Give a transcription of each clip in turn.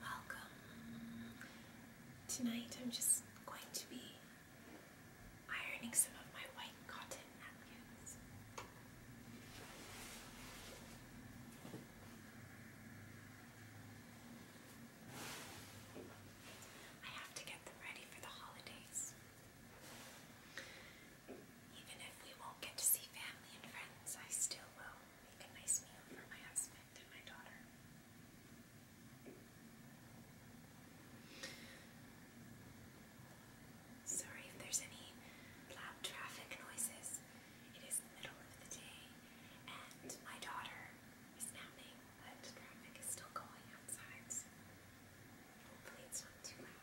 Welcome. Tonight I'm just going to be ironing some of my white cotton napkins. I have to get them ready for the holidays. Even if we won't get to see family and friends, I still will make a nice meal for my husband and my daughter. Sorry if there's any loud traffic noises. It is middle of the day, and my daughter is napping, but traffic is still going outside, hopefully it's not too loud.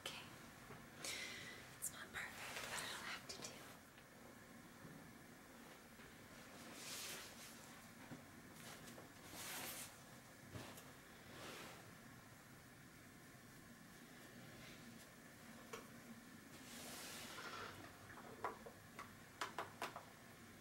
Okay. It's not perfect, but it'll have to do. Okay.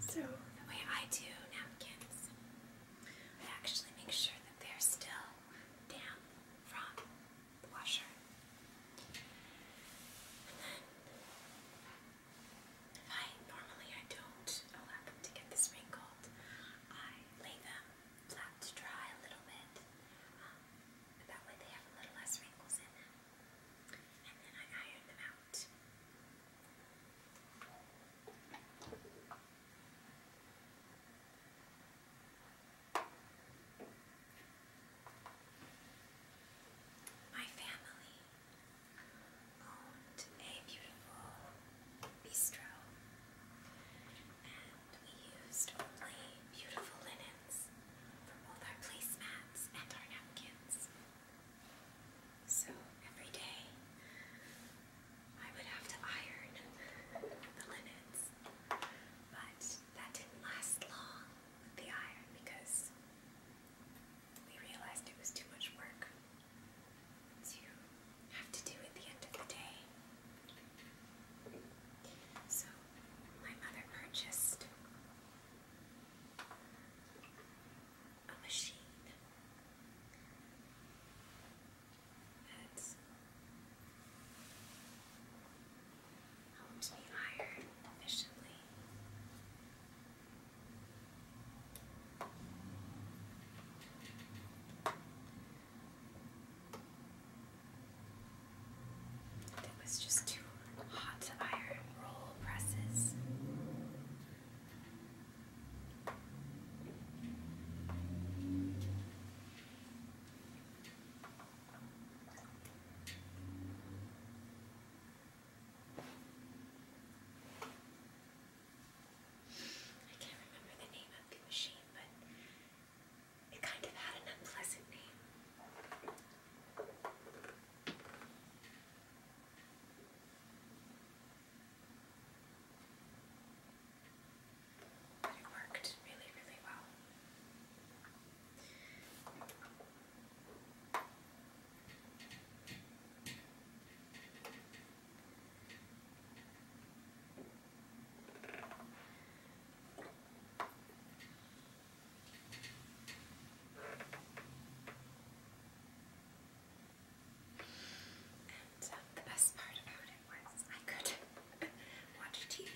So the way I do napkins, I actually make sure that they're still damp from the washer. I normally I don't allow them to get this wrinkled, I lay them flat to dry a little bit. Um, that way they have a little less wrinkles in them. And then I iron them out. My family owned a beautiful bistro, and we used only beautiful linens for both our placemats and our napkins. So every day I would have to iron the linens, but that didn't last long with the iron because we realized it was too much work to have to do at the end of the day. So my mother purchased a machine that helped me iron efficiently. It was just too hot to iron roll presses. I can't remember the name of the machine, but it kind of had an unpleasant name. But it worked really, really well. And uh, the best part about it was I could watch TV,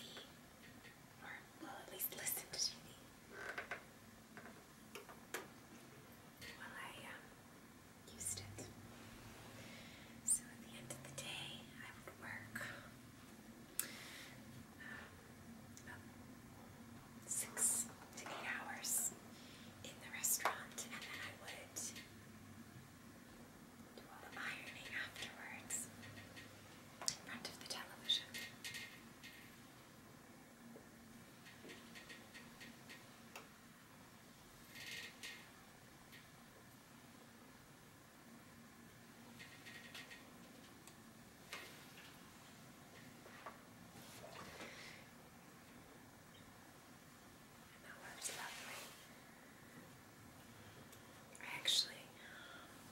or well, at least listen to TV, while I um, used it. So at the end of the day, I would work um, six to eight hours in the restaurant, and then I would do all the ironing afterwards in front of the television. That works lovely. I actually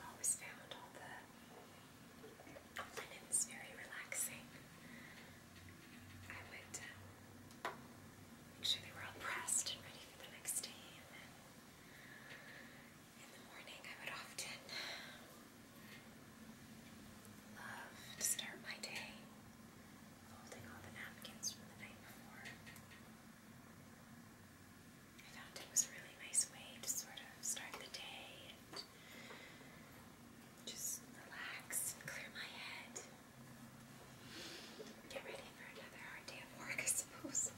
always found all the linens very relaxing. I would make sure they were all pressed and ready for the next day. in the morning, I would often love to start my day folding all the napkins from the night before. I found it was a really nice way to sort of start the day and just relax and clear my head. Get ready for another hard day of work, I suppose.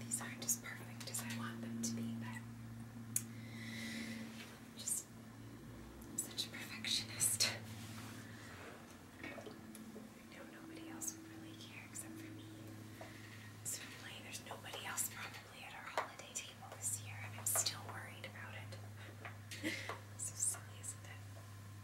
These aren't as perfect as I want them to be, but am just such a perfectionist. I know nobody else would really care except for me. Certainly, there's nobody else probably at our holiday table this year, and I'm still worried about it. so silly, isn't it?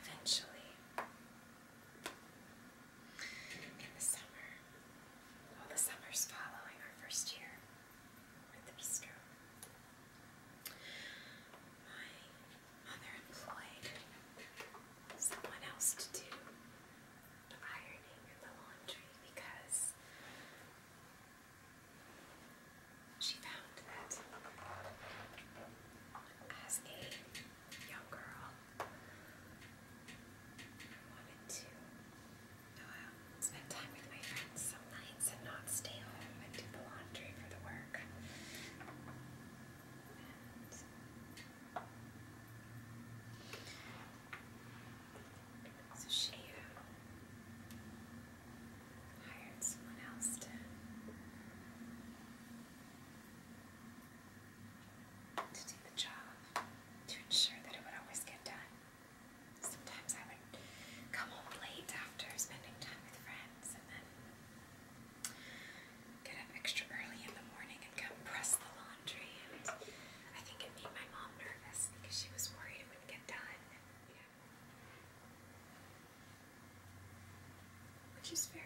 Eventually, in the summer, all the summers following our first year at the bistro, my mother employed someone else to do the ironing and the laundry because she found that as a young girl, I wanted to uh, spend time with my friends some nights and not stay home and do the laundry for the work. so she uh, hired someone else to to do the job to ensure that it would always get done. Sometimes I would come home late after spending time with friends and then get up extra early in the morning and come press the laundry and I think it made my mom nervous because she was worried it wouldn't get done. You know, which is fair.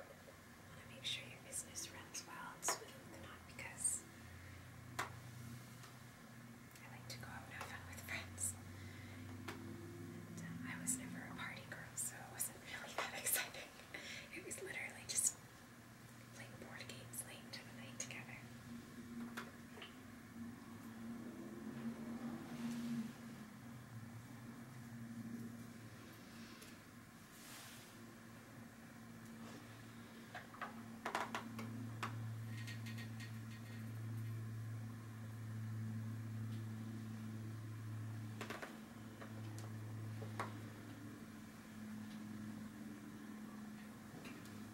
You want to make sure your business runs well and smooth and not because I like to go out and have fun with friends. And, uh, I was never a party girl, so it wasn't really that exciting. It was literally just playing board games late into the night together.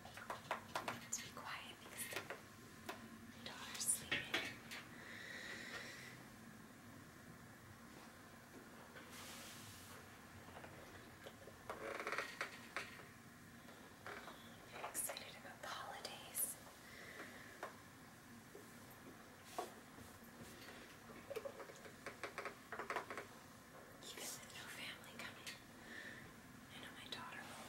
To be quiet because my daughter's sleeping. I'm excited about the holidays. Even with no family coming, I know my daughter will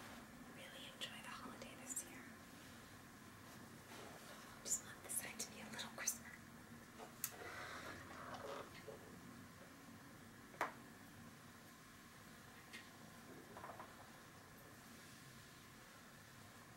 really enjoy the holiday this year. I just want this side to be a little crisper. All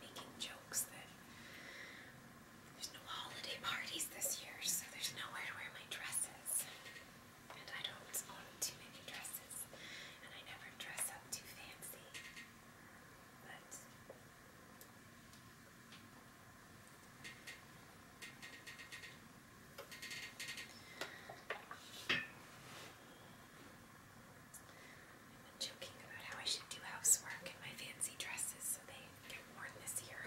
Making jokes that there's no holiday parties this year, so there's nowhere to wear my dresses. And I don't own too many dresses, and I never dress up too fancy i am joking about how I should do housework in my fancy dresses so they get worn this year.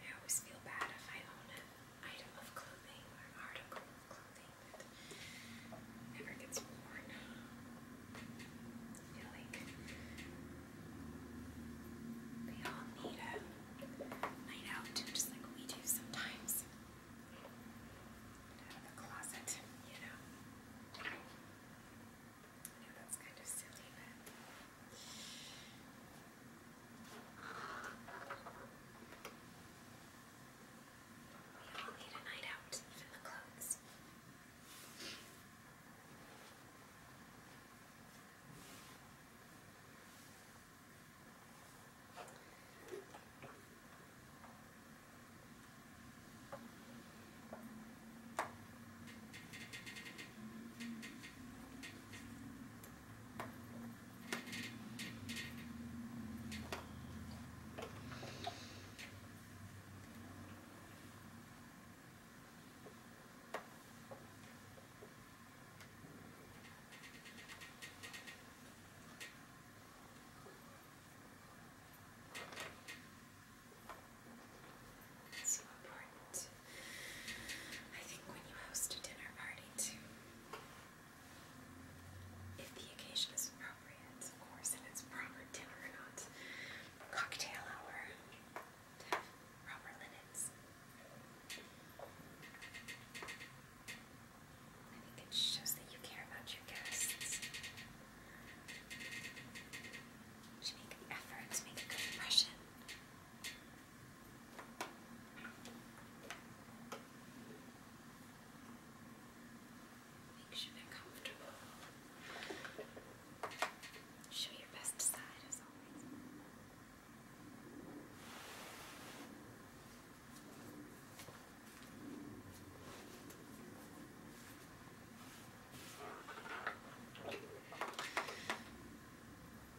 I always feel bad if I own an item of clothing or article of clothing that never gets worn. I feel like they all need a night out just like we do sometimes. out of the closet, you know. I that's kind of silly, but we all need a night out, even the clothes. It's so important. I think when you host a dinner party, too, if the occasion is appropriate, of course, and it's proper dinner or not. Cocktail hour to have I think it shows that you care about your guests. You make an effort to make a good impression. Make sure they're comfortable. Show your best side as always.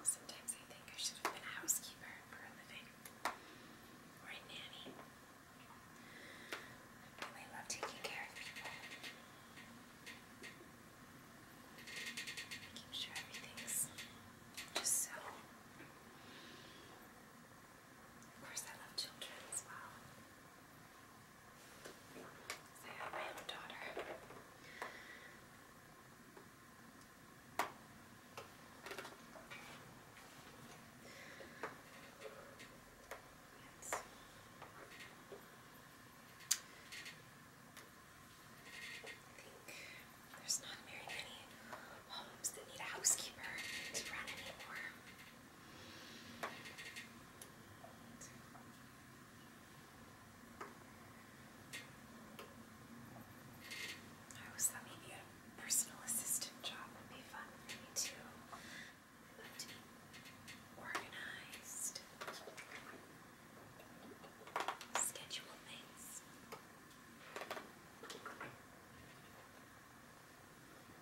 Sometimes I think I should have been a housekeeper for a living or a nanny. I really love taking care of people. Making sure everything's just so of course, I love children as well. So I have my own daughter. Yes. I think there's not very many homes that need a housekeeper to run anymore. I was thinking maybe a personal assistant job would be fun for me too. organized, schedule things.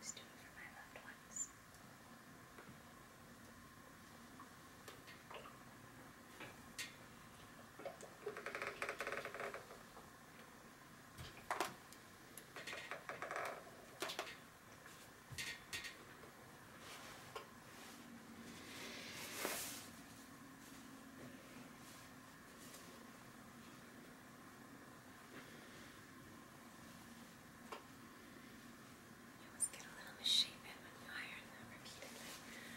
Just do it for my loved ones. All I always get a little misshapen when you iron them repeatedly. All